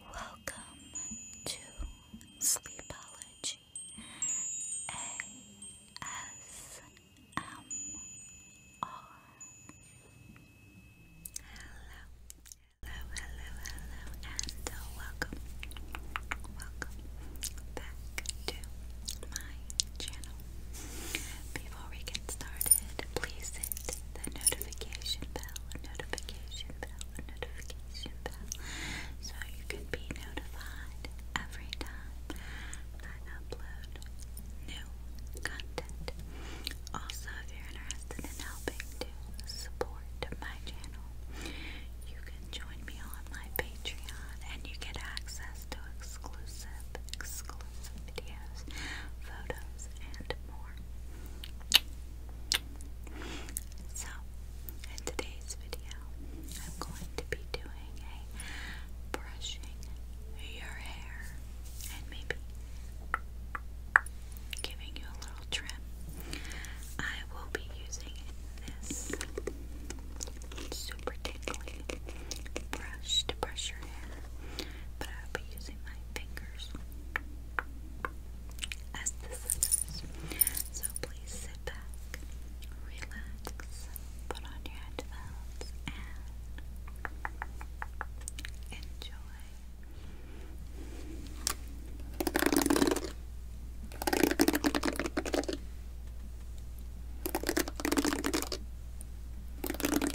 Welcome to Sleepology ASMR. Hello, hello, hello, hello, and welcome, welcome back to my channel before we get started, please hit the notification bell, notification bell, notification bell, so you can be notified every time I upload new content. Also, if you're interested in helping to support my channel, you can join me on my Patreon and you get access to exclusive, exclusive videos, photos, and so, in today's video, I'm going to be doing a brushing your hair and maybe giving you a little trim. I will be using this super tickly brush to brush your hair, but I'll be using my fingers as the scissors. So please sit back, relax, put on your headphones, and enjoy. Thank you is so beautiful.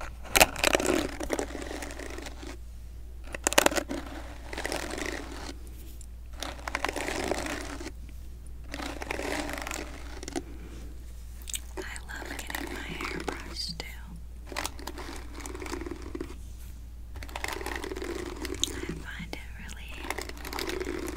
I love getting my hair brushed too. I find it really relaxing and tingly.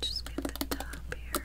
Just get the top here.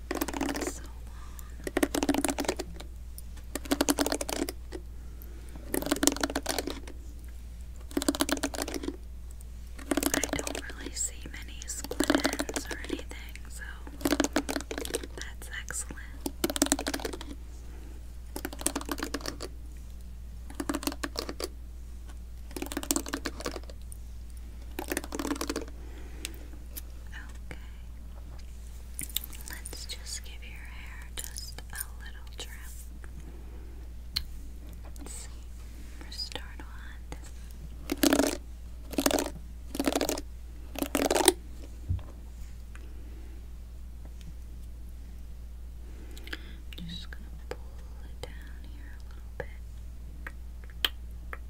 I don't really see many split ends or anything, so that's excellent. Okay. Let's just give your hair just a little trim. Let's start on this. I'm just gonna pull it down here a little bit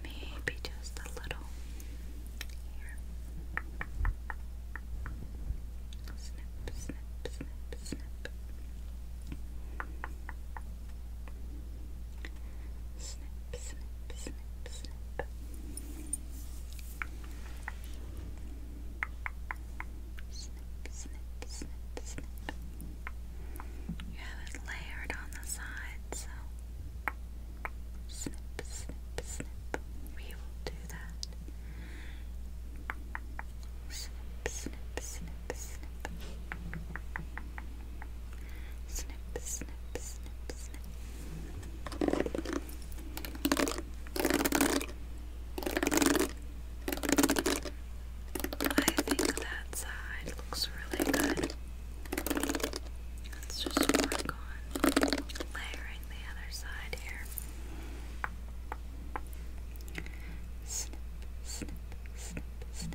Maybe just a little here. Snip, snip, snip, snip. Snip, snip, snip, snip. Snip, You have it layered on the side, snip, snip, snip. We will do that. Snip, snip, snip, snip. Snip, snip, snip, snip. I think that side looks really good. Let's just work on layering the other side here. Snip, snip, snip, snip, snip.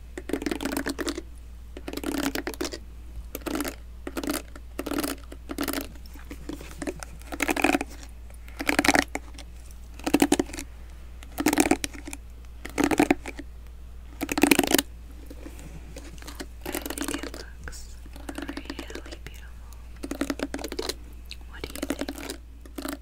think it looks really beautiful. What do you think?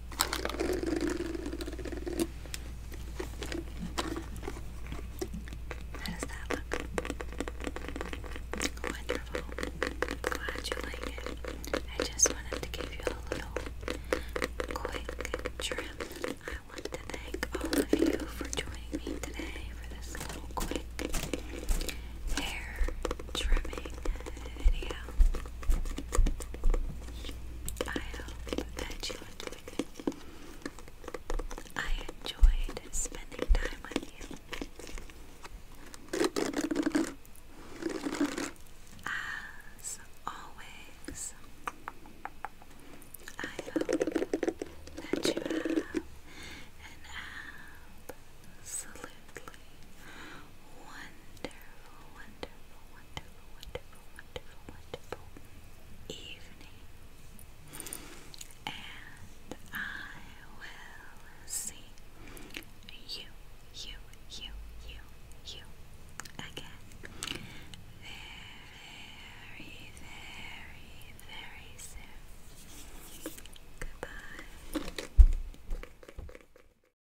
How does that look? Wonderful. Glad you like it. I just wanted to give you a little quick trim. I want to thank all of you for joining me today for this little quick hair trimming video. I hope that you enjoyed it. I enjoyed spending time with you. As always, I hope that you have an absolutely wonderful, wonderful, wonderful, wonderful, wonderful, wonderful evening. And I will see you, you, you, you, you again very, very, very, very soon. Goodbye.